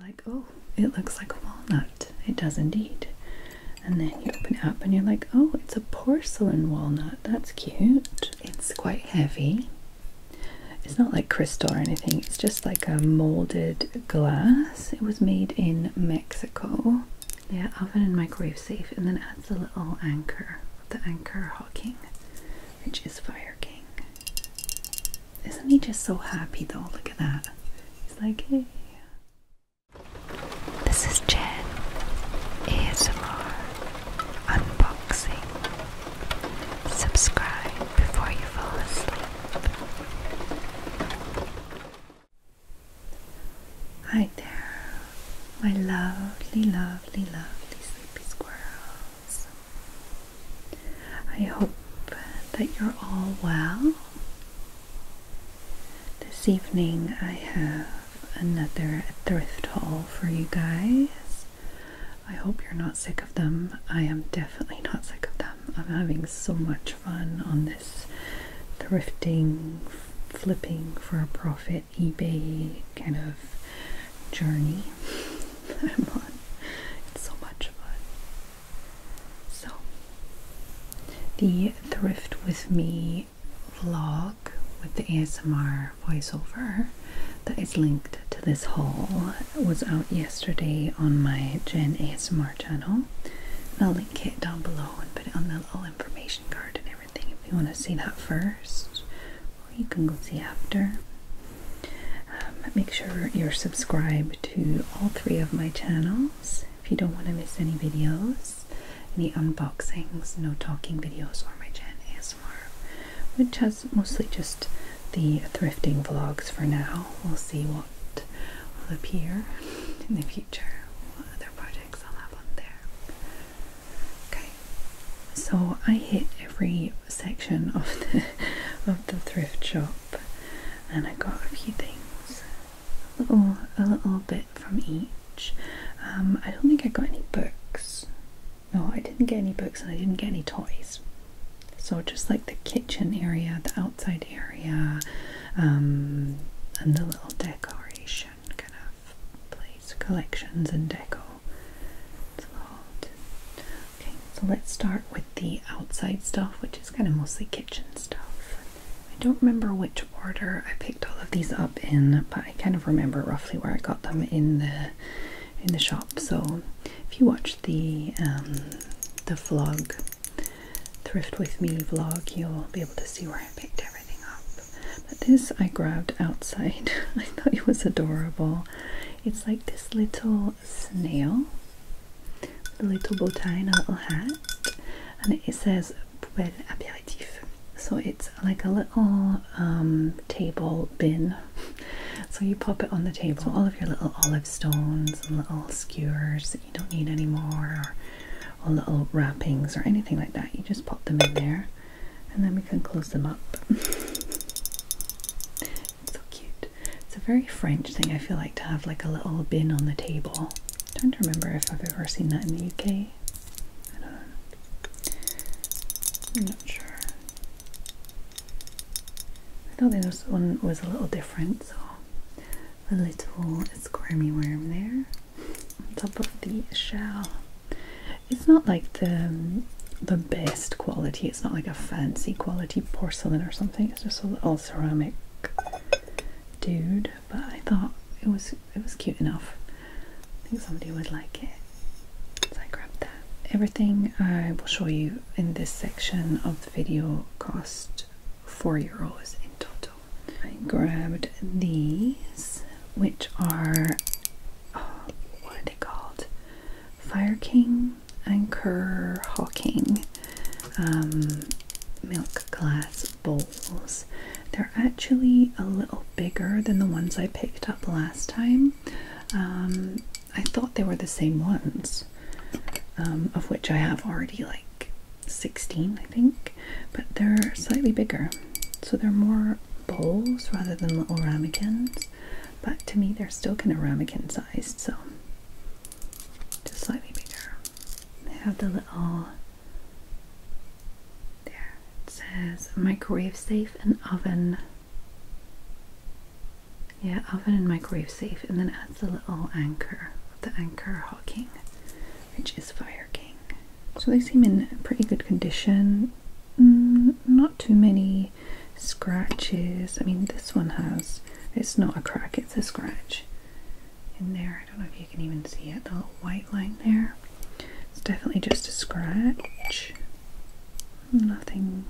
like, oh, it looks like a walnut. It does indeed. And then you open it up and you're like, oh, it's a porcelain walnut. That's cute. It's quite heavy. It's not like crystal or anything, it's just like a molded glass. It was made in Mexico. Yeah, oven and microwave safe. And then adds a little anchor, the anchor hawking, which is Fire King. Isn't he just so happy though? Look at that. He's like, hey. This is Jen ASMR Unboxing. Subscribe before you fall asleep. Hi there, my lovely, lovely, lovely sleepy squirrels. I hope that you're all well. This evening I have another thrift haul for you guys. I hope you're not sick of them. I am definitely not sick of them. I'm having so much fun on this thrifting, flipping for a profit, eBay kind of journey that I'm on. It's so much fun. So, the Thrift With Me vlog with the ASMR voiceover that is linked to this haul was out yesterday on my Gen ASMR channel. I'll link it down below and put it on the little information card and everything if you want to see that first, or you can go see after. Um, make sure you're subscribed to all three of my channels if you don't want to miss any videos, any unboxings, no talking videos, or my Jan ASMR, which has mostly just the thrifting vlogs for now. We'll see what will appear in the future, what other projects I'll have on there. Okay, so I hit every section of the of the thrift shop and I got a few things, a little, a little bit from each. Um, I don't think I got any books. No, I didn't get any books, and I didn't get any toys. So just like the kitchen area, the outside area, um, and the little decoration kind of place, collections and deco so let's start with the outside stuff, which is kind of mostly kitchen stuff. I don't remember which order I picked all of these up in, but I kind of remember roughly where I got them in the in the shop. So if you watch the um, the vlog, thrift with me vlog, you'll be able to see where I picked everything up. But this I grabbed outside. I thought it was adorable. It's like this little snail with a little bow and a little hat, and it says Poubelle Aperitif. So it's like a little um, table bin. So you pop it on the table. So all of your little olive stones and little skewers that you don't need anymore, or, little wrappings or anything like that. You just pop them in there, and then we can close them up. so cute. It's a very French thing, I feel like, to have like a little bin on the table. I don't remember if I've ever seen that in the UK. I don't know. I'm not sure. I thought this one was a little different, so a little squirmy worm there on top of the shell. It's not like the um, the best quality it's not like a fancy quality porcelain or something. It's just a little ceramic dude. But I thought it was it was cute enough. I think somebody would like it. So I grabbed that. Everything I will show you in this section of the video cost four euros in total. I grabbed these, which are oh, what are they called? Fire King Anchor Hawking um, milk glass bowls. They're actually a little bigger than the ones I picked up last time. Um, I thought they were the same ones, um, of which I have already like 16, I think, but they're slightly bigger. So they're more bowls rather than little ramekins but to me they're still kind of ramekin sized, so just slightly bigger. They have the little there it says microwave safe and oven. Yeah, oven and microwave safe, and then adds the little anchor the anchor hawking, which is Fire King. So they seem in pretty good condition. Mm, not too many scratches. I mean, this one has, it's not a crack, it's a scratch in there. I don't know if you can even see it, the little white line there. It's definitely just a scratch. Nothing,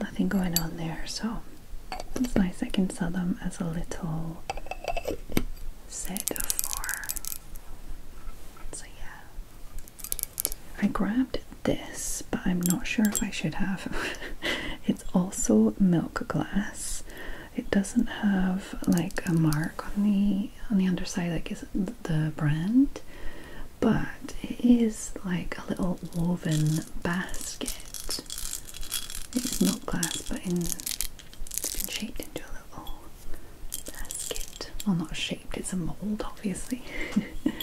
nothing going on there. So it's nice. I can sell them as a little set of four. So yeah, I grabbed this, but I'm not sure if I should have. it's also milk glass. It doesn't have like a mark on the on the underside, like is the brand, but it is like a little woven basket. It's not glass, but it's been shaped into a little basket. Well, not shaped; it's a mold, obviously.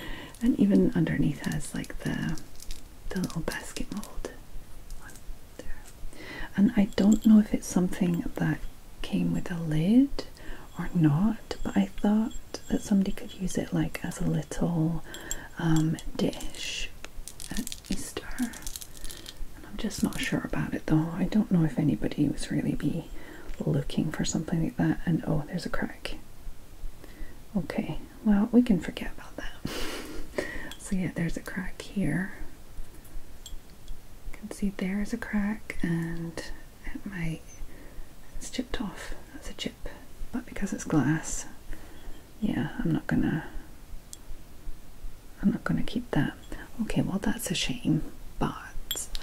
and even underneath has like the the little basket mold and I don't know if it's something that came with a lid or not but I thought that somebody could use it like as a little um, dish at Easter I'm just not sure about it though I don't know if anybody was really be looking for something like that and oh there's a crack Okay, well, we can forget about that. so, yeah, there's a crack here. You can see there's a crack, and it might. It's chipped off. That's a chip. But because it's glass, yeah, I'm not gonna. I'm not gonna keep that. Okay, well, that's a shame, but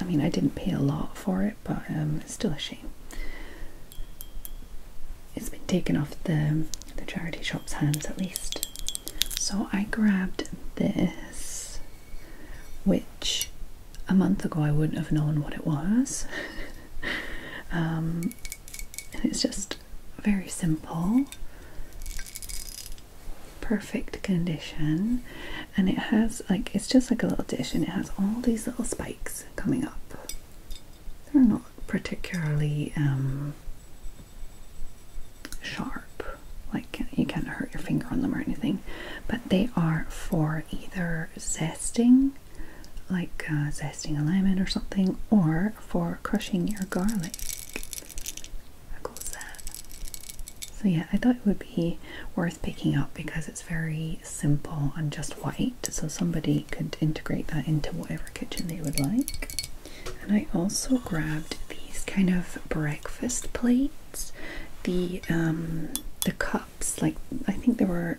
I mean, I didn't pay a lot for it, but um, it's still a shame. It's been taken off the, the charity shop's hands at least. So I grabbed this, which a month ago I wouldn't have known what it was. Um, it's just very simple, perfect condition and it has like it's just like a little dish and it has all these little spikes coming up they're not particularly um, sharp like you can't hurt your finger on them or anything but they are for either zesting like uh, zesting a lemon or something or for crushing your garlic how cool is that so yeah i thought it would be worth picking up because it's very simple and just white, so somebody could integrate that into whatever kitchen they would like. And I also grabbed these kind of breakfast plates, the um, the cups, like I think there were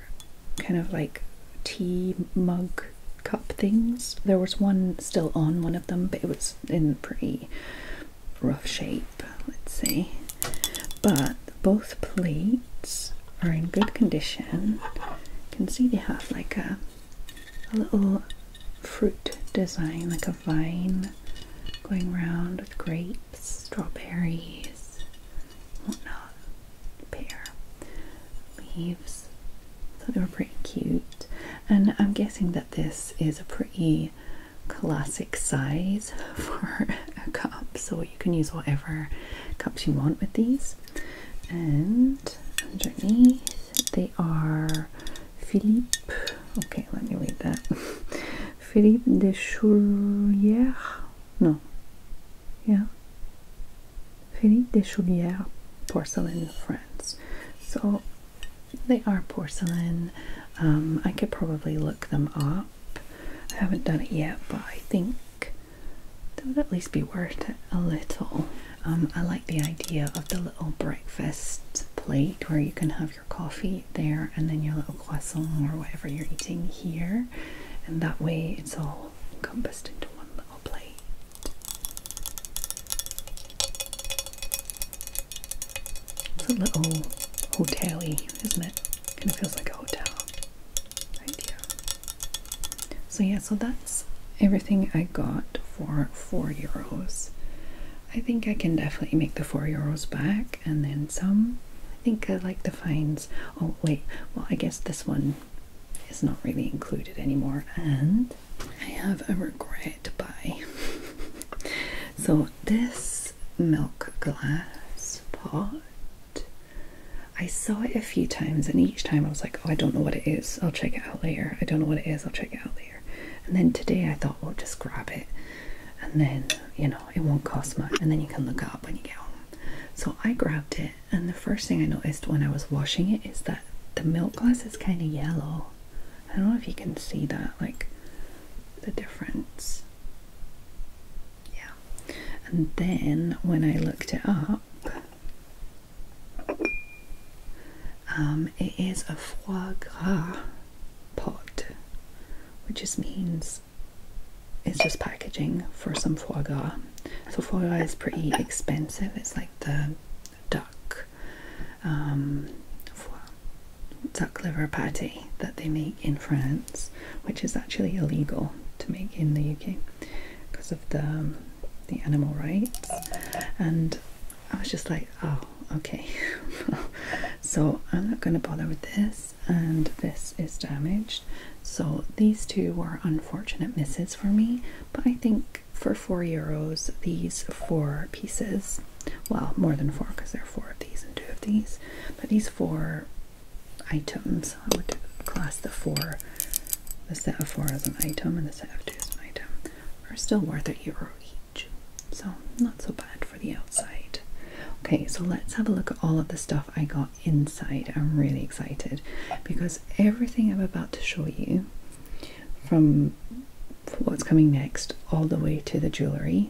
kind of like tea mug cup things. There was one still on one of them, but it was in pretty rough shape, let's say. But both plates are in good condition. You can see they have like a, little fruit design, like a vine going round with grapes, strawberries, whatnot, pear, leaves. So they were pretty cute. And I'm guessing that this is a pretty classic size for a cup so you can use whatever cups you want with these and underneath they are Philippe okay let me read that Philippe de Chaulière no yeah Philippe de Chaulière porcelain France so they are porcelain um, I could probably look them up I haven't done it yet, but I think that would at least be worth it a little. Um, I like the idea of the little breakfast plate where you can have your coffee there and then your little croissant or whatever you're eating here, and that way it's all encompassed into one little plate. It's a little hotel-y, isn't it? Kind of feels like a hotel idea. So yeah, so that's everything I got for four euros. I think I can definitely make the four euros back and then some. I think I like the finds. Oh wait, well I guess this one is not really included anymore and I have a regret buy. so this milk glass pot. I saw it a few times, and each time I was like, Oh, I don't know what it is. I'll check it out later. I don't know what it is. I'll check it out later. And then today I thought, Well, just grab it. And then, you know, it won't cost much. And then you can look up when you get home. So I grabbed it, and the first thing I noticed when I was washing it is that the milk glass is kind of yellow. I don't know if you can see that, like the difference. Yeah. And then when I looked it up, um, it is a foie gras pot, which just means it's just packaging for some foie gras. So foie gras is pretty expensive. It's like the duck um, duck liver patty that they make in France, which is actually illegal to make in the UK because of the um, the animal rights. And I was just like, oh, okay. so I'm not going to bother with this, and this is damaged. So these two were unfortunate misses for me, but I think for four euros, these four pieces, well, more than four because there are four of these and two of these, but these four items, I would class the four, the set of four as an item and the set of two as an item, are still worth a euro each. So not so bad for the outside. Okay, so let's have a look at all of the stuff I got inside. I'm really excited because everything I'm about to show you from what's coming next all the way to the jewellery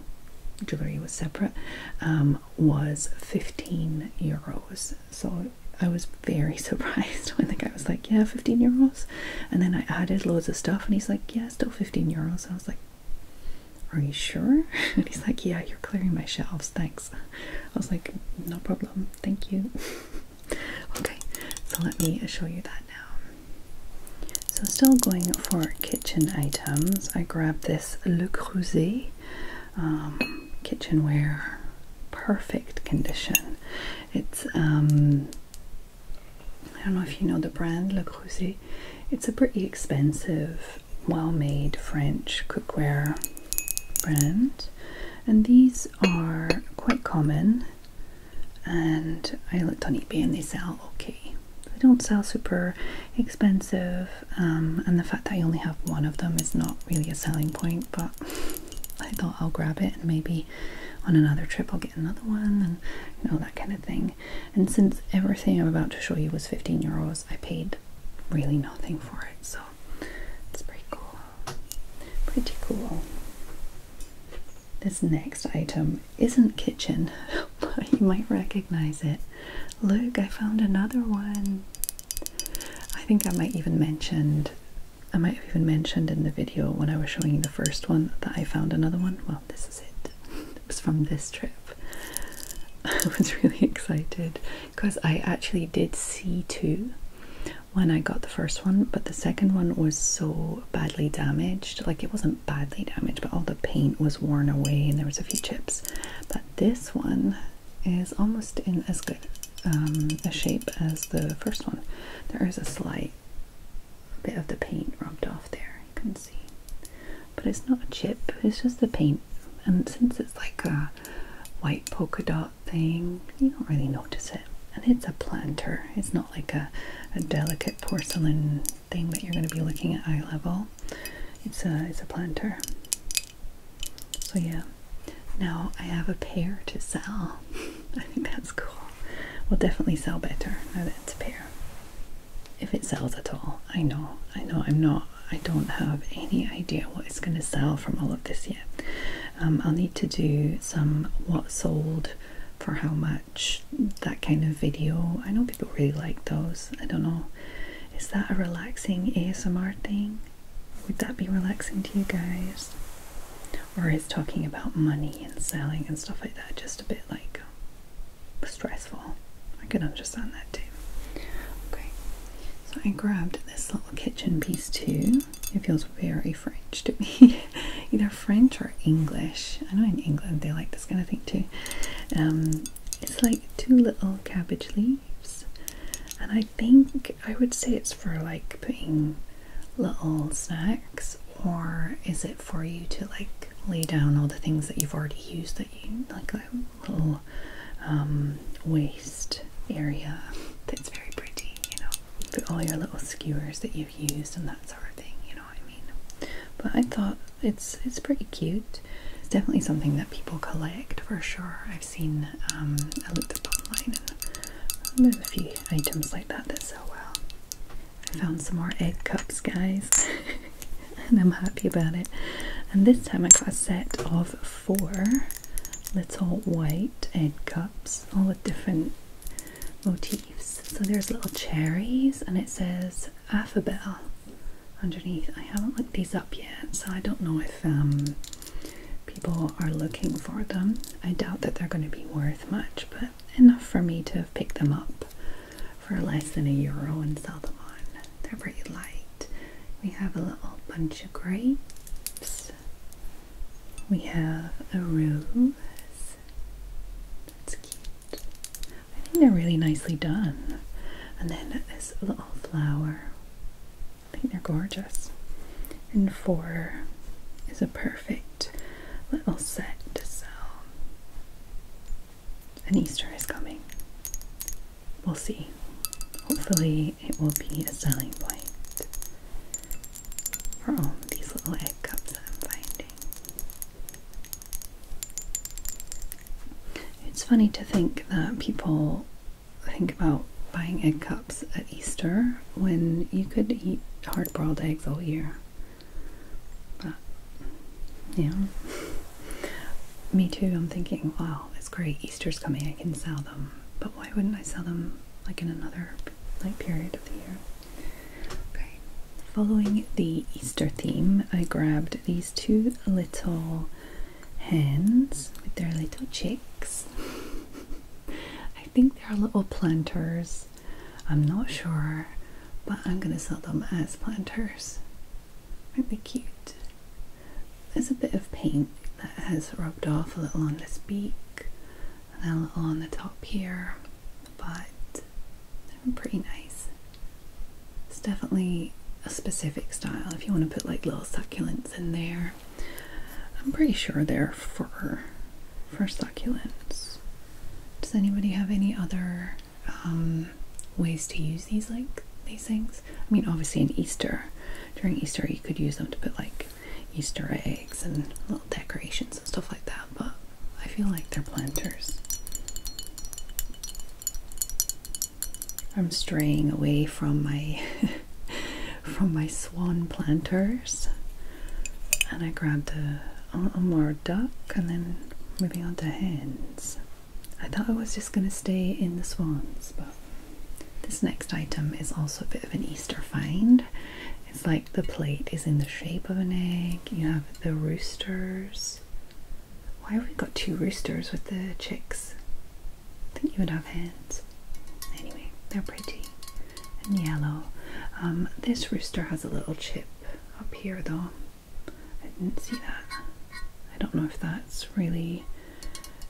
jewelry, was separate, um, was 15 euros. So I was very surprised when the guy was like, Yeah, 15 euros. And then I added loads of stuff, and he's like, Yeah, still 15 euros. I was like, Are you sure? And he's like, Yeah, you're clearing my shelves. Thanks. I was like, No problem. Thank you. okay, so let me show you that now. So still going for kitchen items, I grabbed this Le Creuset um, kitchenware, perfect condition. It's um, I don't know if you know the brand Le Creuset. It's a pretty expensive, well-made French cookware brand, and these are quite common. And I looked on eBay and they sell okay. They don't sell super expensive, um, and the fact that I only have one of them is not really a selling point, but I thought I'll grab it and maybe on another trip I'll get another one and you know that kind of thing. And since everything I'm about to show you was 15 euros, I paid really nothing for it, so it's pretty cool. Pretty cool. This next item isn't kitchen, you might recognize it. Look, I found another one. I think I might even mentioned I might have even mentioned in the video when I was showing you the first one that I found another one. Well, this is it. It was from this trip. I was really excited because I actually did see two when I got the first one, but the second one was so badly damaged. Like it wasn't badly damaged, but all the paint was worn away and there was a few chips. But this one is almost in as good um, a shape as the first one. There is a slight bit of the paint rubbed off there, you can see. But it's not a chip, it's just the paint. And since it's like a white polka dot thing, you don't really notice it. And it's a planter, it's not like a delicate porcelain thing that you're going to be looking at eye level. It's a, it's a planter. So yeah, now I have a pair to sell. I think that's cool. We'll definitely sell better now that it's a pair. If it sells at all. I know, I know, I'm not, I don't have any idea what it's going to sell from all of this yet. Um, I'll need to do some what sold for how much that kind of video. I know people really like those. I don't know. Is that a relaxing ASMR thing? Would that be relaxing to you guys? Or is talking about money and selling and stuff like that just a bit like stressful? I can understand that too. Okay, so I grabbed this little kitchen piece too. It feels very French to me. Either French or English. I know in England they like this kind of thing too. Um, it's like two little cabbage leaves, and I think I would say it's for like putting little snacks, or is it for you to like lay down all the things that you've already used that you like a little um, waste area that's very pretty, you know. put all your little skewers that you've used and that sort of thing, you know. I mean? But I thought it's it's pretty cute. It's definitely something that people collect for sure. I've seen um, I looked up and there's a few items like that that sell well. I found some more egg cups, guys, and I'm happy about it. And this time I got a set of four little white egg cups, all with different motifs. So there's little cherries, and it says Alphabetl underneath. I haven't looked these up yet, so I don't know if um, people are looking for them. I doubt that they're going to be worth much, but enough for me to pick them up for less than a euro and sell them on. They're pretty light. We have a little bunch of grapes. We have a rose. That's cute. I think they're really nicely done. And then this little flower. I think they're gorgeous. And four is a perfect little set to sell. And Easter is coming. We'll see. Hopefully, it will be a selling point for all these little egg cups that I'm finding. It's funny to think that people think about buying egg cups at Easter when you could eat hard boiled eggs all year. But, yeah. Me too, I'm thinking, wow, it's great, Easter's coming, I can sell them. But why wouldn't I sell them like in another like period of the year? following the Easter theme, I grabbed these two little hands with their little chicks. I think they're little planters. I'm not sure, but I'm gonna sell them as planters. Aren't they cute? There's a bit of paint that has rubbed off a little on this beak and a little on the top here, but pretty nice. It's definitely a specific style. If you want to put like little succulents in there, I'm pretty sure they're for for succulents. Does anybody have any other um, ways to use these like these things? I mean, obviously, in Easter, during Easter, you could use them to put like Easter eggs and little decorations and stuff like that. But I feel like they're planters. I'm straying away from my from my swan planters and I grabbed a, more duck and then moving on to hens. I thought I was just going to stay in the swans but this next item is also a bit of an Easter find. It's like the plate is in the shape of an egg. You have the roosters. Why have we got two roosters with the chicks? I think you would have hens. Anyway, they're pretty and yellow. Um, this rooster has a little chip up here though. I didn't see that. I don't know if that's really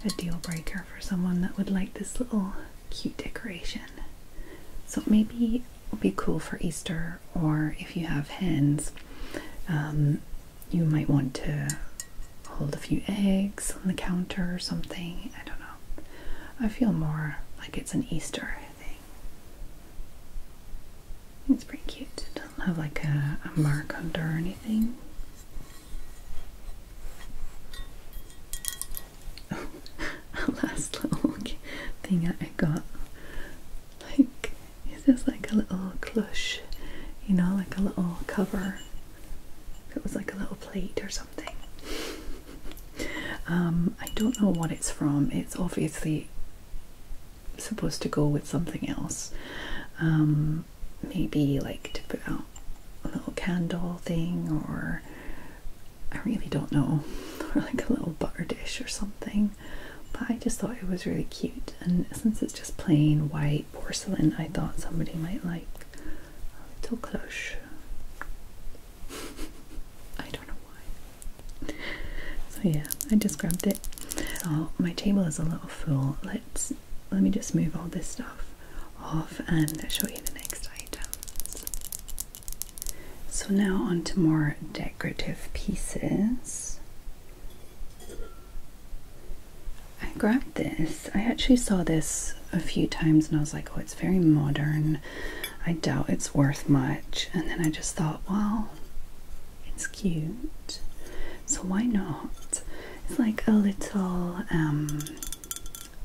a deal breaker for someone that would like this little cute decoration. So maybe it would be cool for Easter, or if you have hens, um, you might want to hold a few eggs on the counter or something. I don't know. I feel more like it's an Easter thing. It's pretty cute. It doesn't have like a, mark under or anything. last little thing that I got. Like, it's just like a little clush, you know, like a little cover. it was like a little plate or something. Um, I don't know what it's from. It's obviously supposed to go with something else. Um, maybe like to put out a little candle thing or I really don't know, or like a little butter dish or something. But I just thought it was really cute, and since it's just plain white porcelain, I thought somebody might like a little cloche. I don't know why. So yeah, I just grabbed it. Oh, my table is a little full. Let's let me just move all this stuff off and show you the next items. So now on to more decorative pieces. I grabbed this. I actually saw this a few times and I was like, oh, it's very modern. I doubt it's worth much. And then I just thought, "Wow, it's cute. So why not? It's like a little um,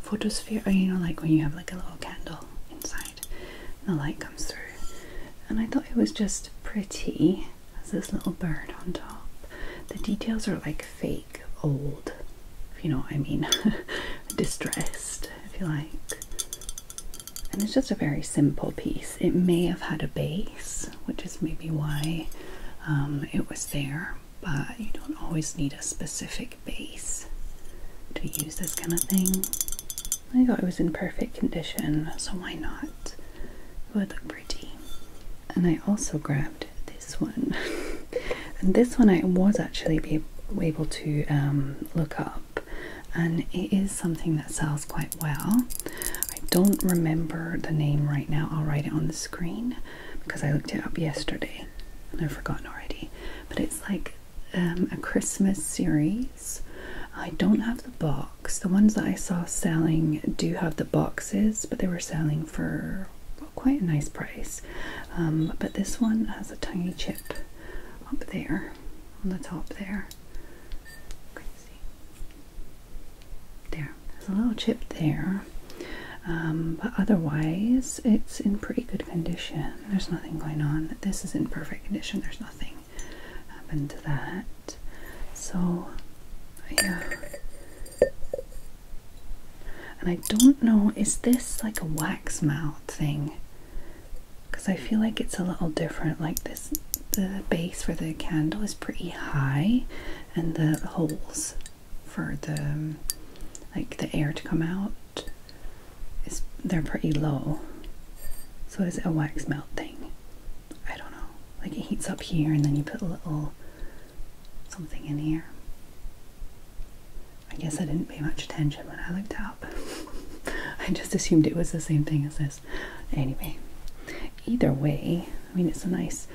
photosphere, or you know, like when you have like a little candle inside. The light comes through. And I thought it was just pretty. as this little bird on top. The details are like fake, old, if you know what I mean. Distressed, if you like. And it's just a very simple piece. It may have had a base, which is maybe why um, it was there, but you don't always need a specific base to use this kind of thing. I thought it was in perfect condition, so why not? It would look pretty. And I also grabbed this one. and this one I was actually able to um, look up, and it is something that sells quite well. I don't remember the name right now, I'll write it on the screen because I looked it up yesterday and I've forgotten already. But it's like um, a Christmas series. I don't have the box. The ones that I saw selling do have the boxes, but they were selling for quite a nice price. Um, but this one has a tiny chip up there on the top there. There, there's a little chip there. Um, but otherwise, it's in pretty good condition. There's nothing going on. This is in perfect condition. There's nothing happened to that. So yeah. And I don't know, is this like a wax mount thing? Because I feel like it's a little different. Like this, the base for the candle is pretty high, and the holes for the um, like the air to come out they're pretty low. So is it a wax melt thing? I don't know. Like it heats up here and then you put a little something in here. I guess I didn't pay much attention when I looked up. I just assumed it was the same thing as this. Anyway, either way, I mean, it's a nice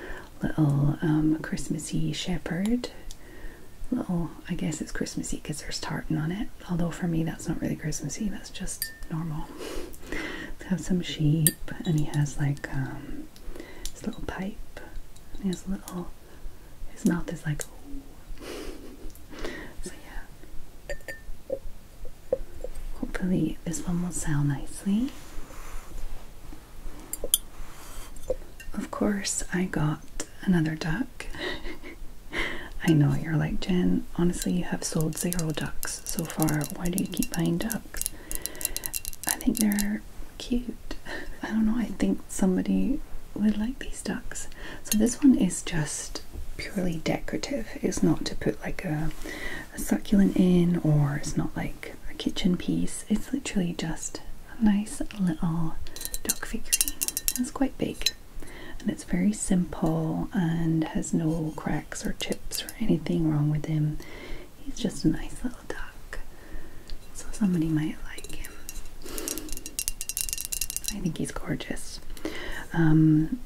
little um, Christmassy shepherd. Little, I guess it's Christmassy because there's tartan on it although for me that's not really Christmassy, that's just normal. have some sheep, and he has like um, his little pipe, and he little, his mouth is like, so yeah. Hopefully, this one will sell nicely. Of course, I got another duck. I know you're like Jen. Honestly, you have sold zero ducks so far. Why do you keep buying ducks? I think they're cute. I don't know. I think somebody would like these ducks. So this one is just purely decorative. It's not to put like a, succulent in, or it's not like a kitchen piece. It's literally just a nice little duck figurine. It's quite big. And it's very simple and has no cracks or chips or anything wrong with him. He's just a nice little duck. So somebody might like him. I think he's gorgeous. Um,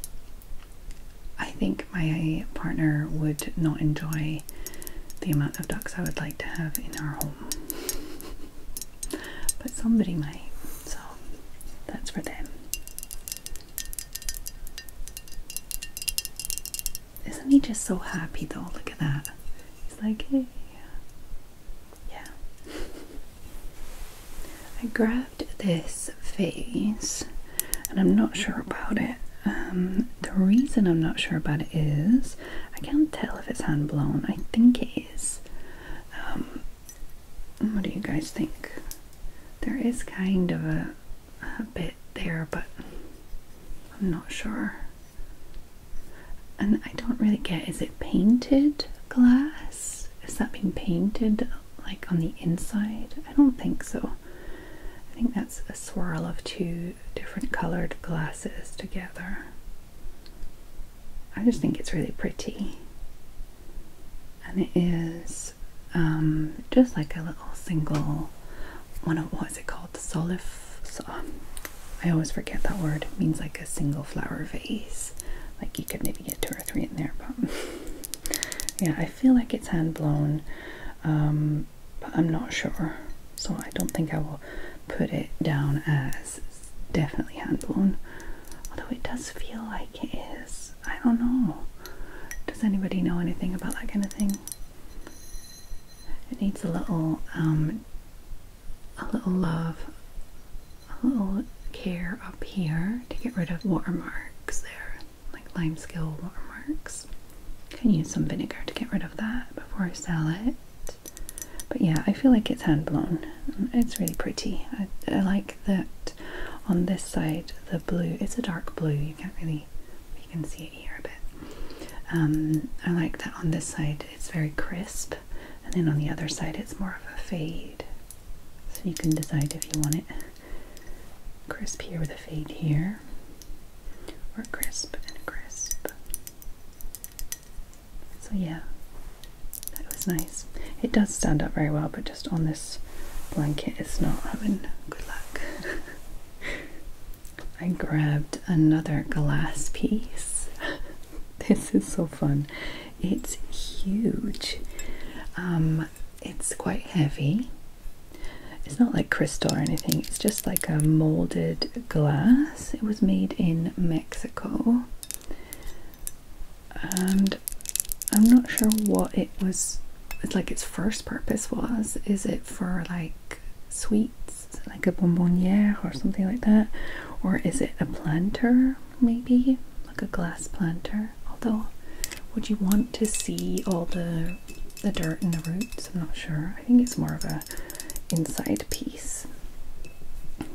I think my partner would not enjoy the amount of ducks I would like to have in our home. but somebody might, so that's for them. Isn't he just so happy though? Look at that. He's like, hey. Yeah. I grabbed this vase and I'm not sure about it. Um, the reason I'm not sure about it is I can't tell if it's hand blown. I think it is. Um, what do you guys think? There is kind of a, bit there, but I'm not sure. And I don't really get is it painted glass? Is that being painted like on the inside? I don't think so. I think that's a swirl of two different colored glasses together. I just think it's really pretty. And it is um, just like a little single one of what is it called? Solif. Um, I always forget that word. It means like a single flower vase. Like you could maybe get two or three in there, but yeah, I feel like it's hand blown, um, but I'm not sure. So I don't think I will put it down as definitely hand blown. Although it does feel like it is. I don't know. Does anybody know anything about that kind of thing? It needs a little, um, a little love, a little care up here to get rid of watermarks there, like lime limescale watermarks. Can use some vinegar to get rid of that before I sell it. But yeah, I feel like it's hand blown. It's really pretty. I, like that on this side the blue. It's a dark blue. You can't really you can see it here a bit. Um, I like that on this side it's very crisp, and then on the other side it's more of a fade. So you can decide if you want it crisp here with a fade here, or crisp and crisp. So yeah, that was nice. It does stand up very well, but just on this blanket, it's not having good luck. I grabbed another glass piece. this is so fun. It's huge. Um, it's quite heavy. It's not like crystal or anything. It's just like a molded glass. It was made in Mexico and I'm not sure what it was like its first purpose was. Is it for like sweets, like a bonbonniere or something like that? Or is it a planter maybe? Like a glass planter. Although would you want to see all the the dirt and the roots? I'm not sure. I think it's more of a inside piece.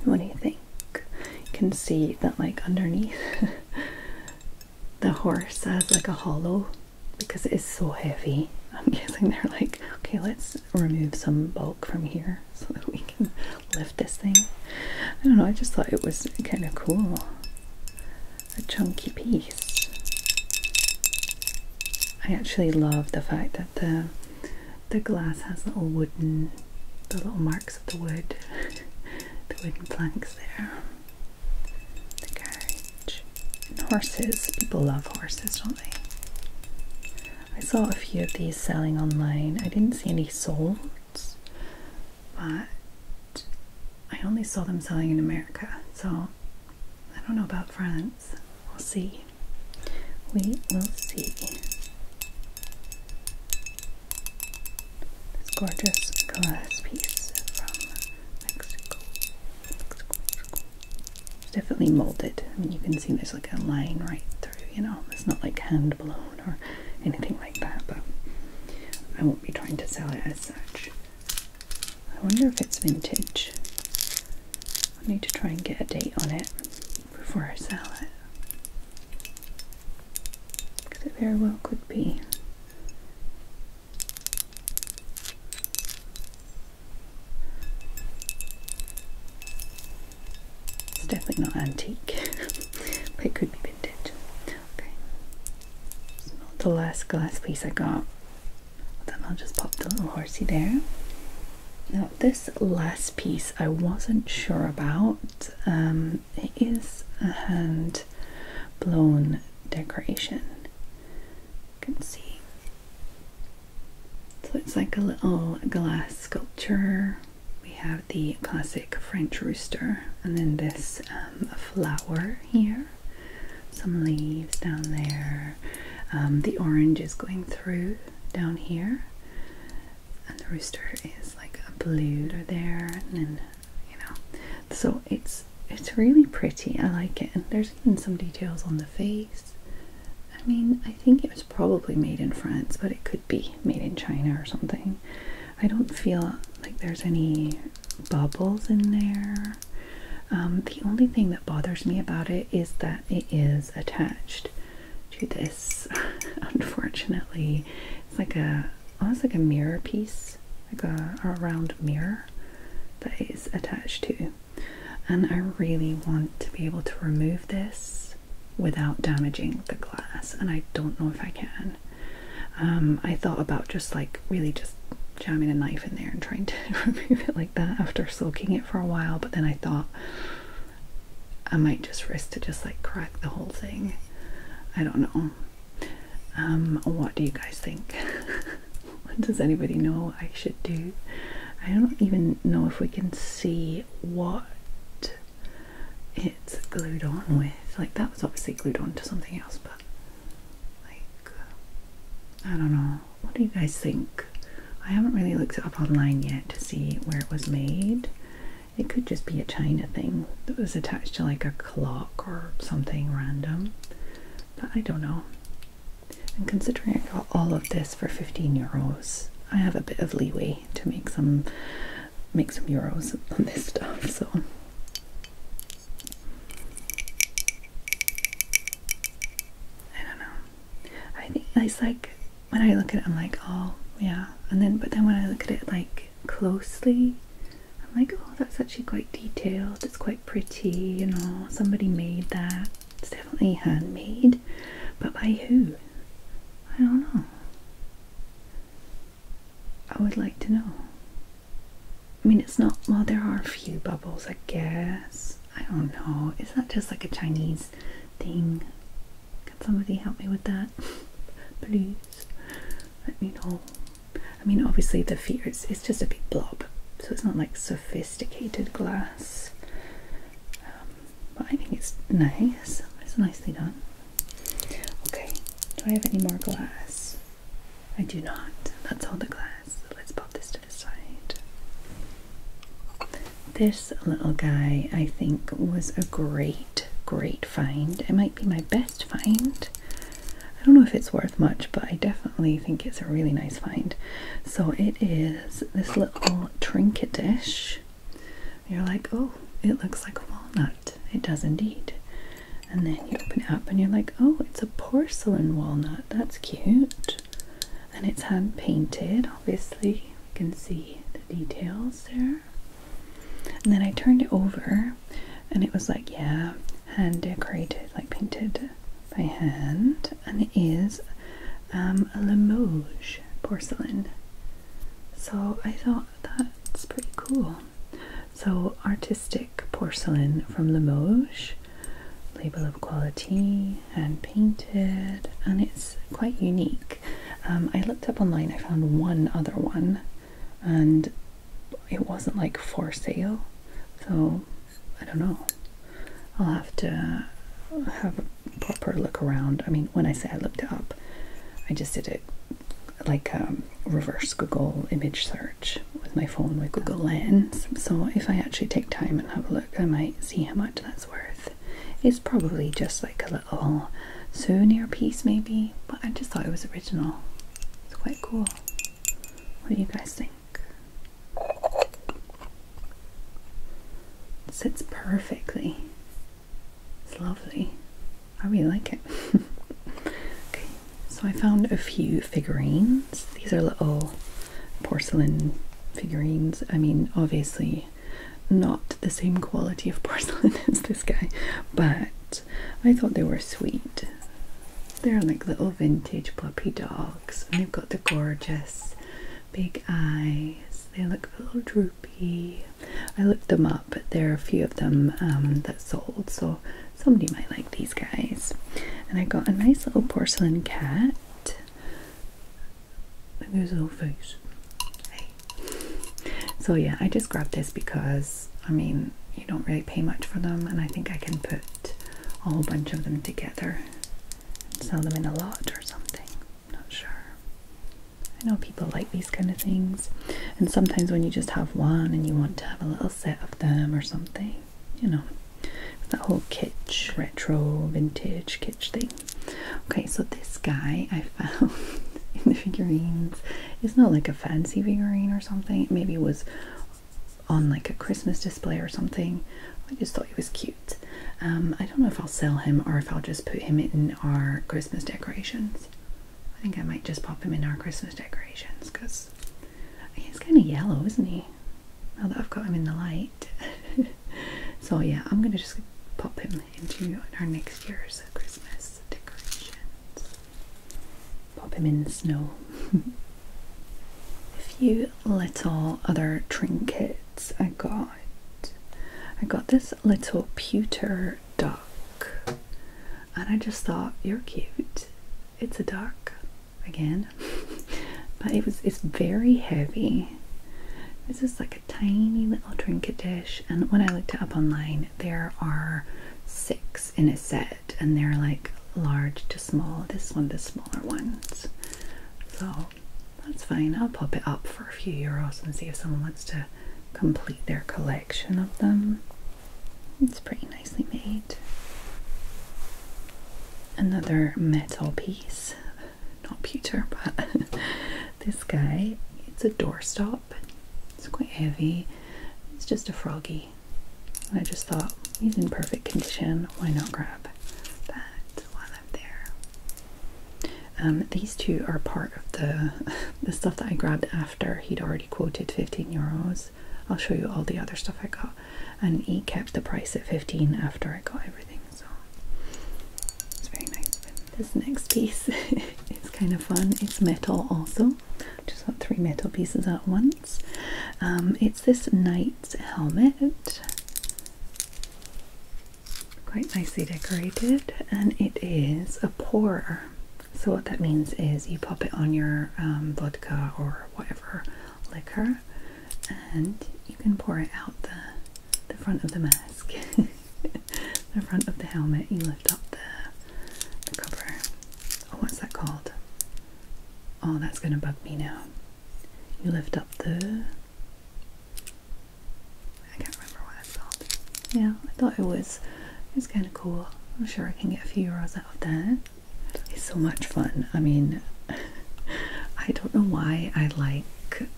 What do you think? You can see that like underneath the horse has like a hollow because it is so heavy. I'm guessing they're like, okay, let's remove some bulk from here so that we can lift this thing. I don't know, I just thought it was kind of cool. A chunky piece. I actually love the fact that the the glass has little wooden, the little marks of the wood, the wooden planks there. The carriage. And horses. People love horses, don't they? I saw a few of these selling online. I didn't see any sold, but I only saw them selling in America, so I don't know about France. We'll see. We will see. This gorgeous glass piece from Mexico. It's definitely molded. I mean, you can see there's like a line right through, you know, it's not like hand blown or anything like that, but I won't be trying to sell it as such. I wonder if it's vintage. I need to try and get a date on it before I sell it. Because it very well could be. It's definitely not antique, but it could be vintage. Okay, the last glass piece I got. then I'll just pop the little horsey there. Now, this last piece I wasn't sure about. Um, it is a hand blown decoration. You can see. So it's like a little glass sculpture. We have the classic French rooster, and then this um, flower here, some leaves down there. Um, the orange is going through, down here, and the rooster is like a blue there, and then you know, so it's it's really pretty. I like it, and there's even some details on the face. I mean, I think it was probably made in France, but it could be made in China or something. I don't feel like there's any bubbles in there. Um, the only thing that bothers me about it is that it is attached to this. Unfortunately, it's like a almost like a mirror piece, like a, a round mirror that is attached to. And I really want to be able to remove this without damaging the glass, and I don't know if I can. Um, I thought about just like really just jamming a knife in there and trying to remove it like that after soaking it for a while, but then I thought I might just risk to just like crack the whole thing. I don't know. Um, what do you guys think? does anybody know I should do? I don't even know if we can see what it's glued on with. Like that was obviously glued on to something else, but like I don't know. What do you guys think? I haven't really looked it up online yet to see where it was made. It could just be a china thing that was attached to like a clock or something random. But I don't know. And considering I got all of this for 15 euros, I have a bit of leeway to make some make some euros on this stuff, so I don't know. I think it's like when I look at it, I'm like, oh yeah, and then but then when I look at it like closely, I'm like, oh, that's actually quite detailed. It's quite pretty, you know. Somebody made that. It's definitely handmade, but by who? I don't know. I would like to know. I mean, it's not. Well, there are a few bubbles, I guess. I don't know. Is that just like a Chinese thing? Can somebody help me with that? Please let me know. I mean, obviously, the fear is it's just a big blob, so it's not like sophisticated glass. Um, but I think it's nice. It's nicely done. Okay, do I have any more glass? I do not. That's all the glass glass. Let's pop this to the side. This little guy, I think, was a great, great find. It might be my best find. I don't know if it's worth much, but I definitely think it's a really nice find. So it is this little trinket dish. You're like, oh, it looks like a walnut. It does indeed. And then you open it up and you're like, oh, it's a porcelain walnut. That's cute and it's hand painted obviously you can see the details there and then I turned it over and it was like yeah hand decorated like painted by hand and it is um, a Limoges porcelain so I thought that's pretty cool so artistic porcelain from Limoges label of quality, and painted, and it's quite unique. Um, I looked up online, I found one other one, and it wasn't like for sale, so I don't know. I'll have to have a proper look around. I mean, when I say I looked up, I just did it like um, reverse Google image search with my phone with Google Lens. So if I actually take time and have a look, I might see how much that's worth. It's probably just like a little souvenir piece, maybe, but I just thought it was original. It's quite cool. What do you guys think? It sits perfectly. It's lovely. I really like it. okay, so I found a few figurines. These are little porcelain figurines. I mean, obviously, not the same quality of porcelain as this guy, but I thought they were sweet. They're like little vintage puppy dogs, and they've got the gorgeous big eyes. They look a little droopy. I looked them up. There are a few of them um, that sold, so somebody might like these guys. And I got a nice little porcelain cat. Maybe a little face. So yeah, I just grabbed this because I mean you don't really pay much for them and I think I can put a whole bunch of them together and sell them in a lot or something. not sure. I know people like these kind of things. And sometimes when you just have one and you want to have a little set of them or something, you know, that whole kitsch, retro, vintage kitsch thing. Okay, so this guy I found in the figurines. is not like a fancy figurine or something. Maybe it was on like a Christmas display or something. I just thought he was cute. Um, I don't know if I'll sell him or if I'll just put him in our Christmas decorations. I think I might just pop him in our Christmas decorations because he's kind of yellow, isn't he? now that I've got him in the light. so yeah, I'm going to just pop him into our next year's Christmas decorations. Pop him in the snow. A few little other trinkets I got. I got this little pewter duck and I just thought, you're cute. It's a duck again. but it was it's very heavy. This is like a tiny little drinker dish, and when I looked it up online, there are six in a set, and they're like large to small. This one, the smaller ones. So that's fine. I'll pop it up for a few euros and see if someone wants to complete their collection of them. It's pretty nicely made another metal piece, not pewter, but this guy. It's a doorstop. It's quite heavy. It's just a froggy. I just thought he's in perfect condition. Why not grab that while i there? Um, these two are part of the the stuff that I grabbed after he'd already quoted 15 euros. I'll show you all the other stuff I got and he kept the price at 15 after I got everything so it's very nice this next piece is kind of fun it's metal also just got three metal pieces at once um, it's this knight's helmet quite nicely decorated and it is a pourer so what that means is you pop it on your um, vodka or whatever liquor and you can pour it out the, the front of the mask, the front of the helmet. You lift up the, cover. Oh, what's that called? Oh, that's going to bug me now. You lift up the. I can't remember what that's called. Yeah, I thought it was. It's kind of cool. I'm sure I can get a few euros out of that. It's so much fun. I mean, I don't know why I like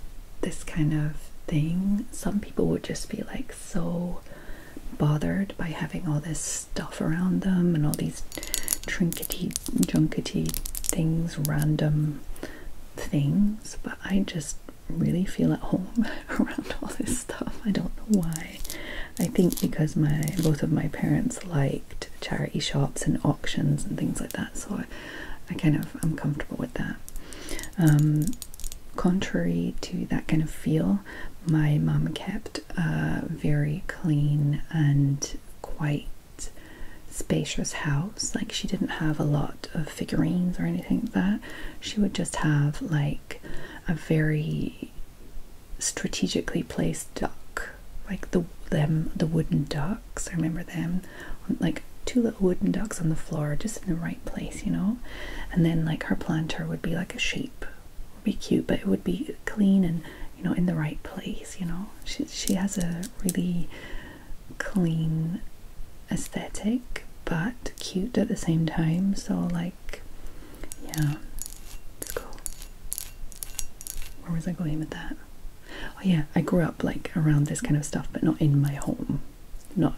this kind of thing. Some people would just be like so bothered by having all this stuff around them and all these trinkety, junkety things, random things. But I just really feel at home around all this stuff. I don't know why. I think because my both of my parents liked charity shops and auctions and things like that. So I, kind of I'm comfortable with that. Um, contrary to that kind of feel, my mom kept a very clean and quite spacious house. Like she didn't have a lot of figurines or anything like that. She would just have like a very strategically placed duck, like the them the wooden ducks. I remember them, like two little wooden ducks on the floor, just in the right place, you know. And then like her planter would be like a sheep, would be cute, but it would be clean and you know in the right place, you know. She she has a really clean aesthetic but cute at the same time so like yeah it's cool where was I going with that? Oh yeah, I grew up like around this kind of stuff, but not in my home. Not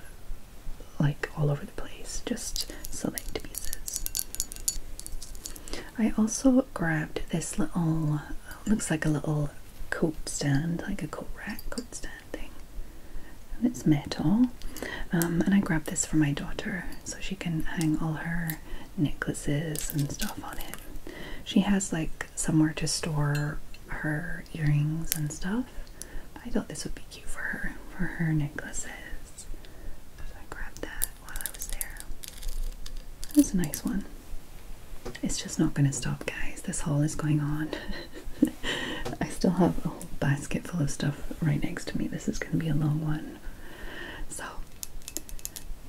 like all over the place, just select pieces. I also grabbed this little, looks like a little coat stand, like a coat rack, coat stand thing. And it's metal. Um, and I grabbed this for my daughter so she can hang all her necklaces and stuff on it. She has like somewhere to store her earrings and stuff. I thought this would be cute for her, for her necklaces. So I grabbed that while I was there. It's a nice one. It's just not going to stop, guys. This haul is going on. I still have a whole basket full of stuff right next to me. This is going to be a long one. So,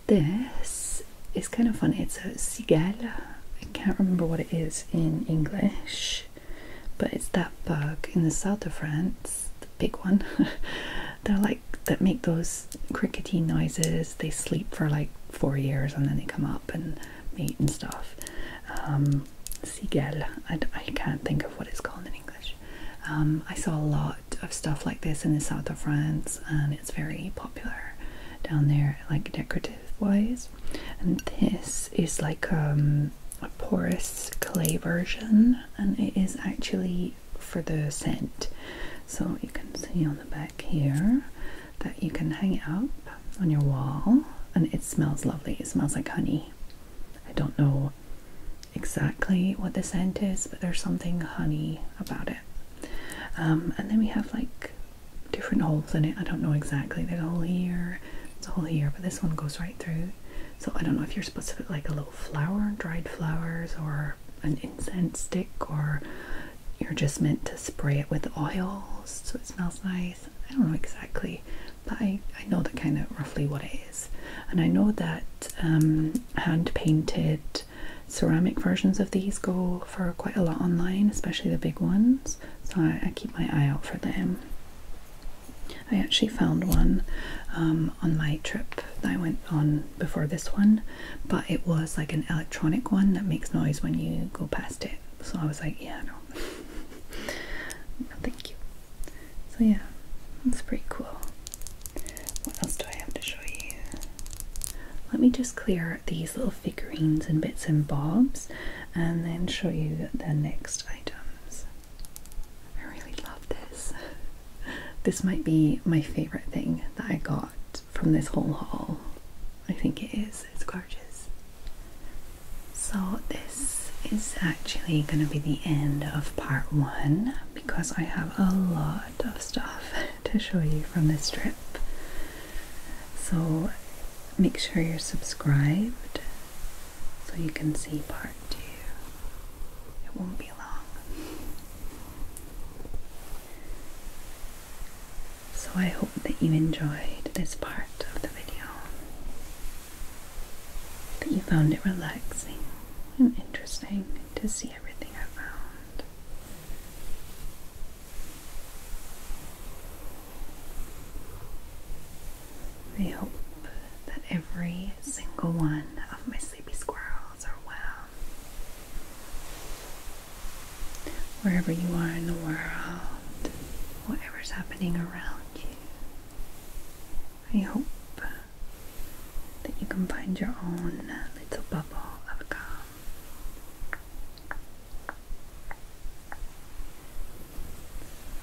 this is kind of funny. It's a cigala. I can't remember what it is in English, but it's that bug in the south of France, the big one. They're like that make those crickety noises. They sleep for like four years and then they come up and mate and stuff. Um, cigale. I, I can't think of what it's called in English. Um, I saw a lot of stuff like this in the south of France, and it's very popular down there, like decorative wise. And this is like um, a porous clay version, and it is actually for the scent. So you can see on the back here that you can hang it up on your wall, and it smells lovely. It smells like honey. I don't know exactly what the scent is, but there's something honey about it. Um, and then we have like different holes in it. I don't know exactly. There's a hole here, there's a hole here, but this one goes right through. So I don't know if you're supposed to put like a little flower, dried flowers, or an incense stick, or you're just meant to spray it with oils so it smells nice. I don't know exactly, but I, I know the kind of roughly what it is. And I know that um, hand painted ceramic versions of these go for quite a lot online, especially the big ones. So I, keep my eye out for them. I actually found one um, on my trip that I went on before this one, but it was like an electronic one that makes noise when you go past it. So I was like, yeah, no, thank you. So yeah, that's pretty cool. What else do I have to show you? Let me just clear these little figurines and bits and bobs and then show you the next items. I really love this. This might be my favorite thing that I got from this whole haul. I think it is. It's gorgeous. So this is actually going to be the end of part one because I have a lot lot stuff to show you from this trip. So make sure you're subscribed so you can see part two. It won't be long. So I hope that you enjoyed this part of the video, that you found it relaxing and interesting to see everything I found. I hope that every single one of my sleepy squirrels are well. Wherever you are in the world, whatever's happening around you, I hope that you can find your own little bubble of calm.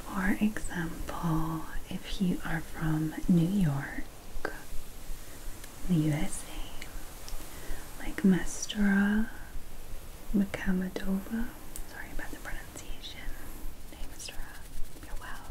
For example, if you are from New York, the USA, like Mastura Makamadova, sorry about the pronunciation. Hey, Mastura, you're well.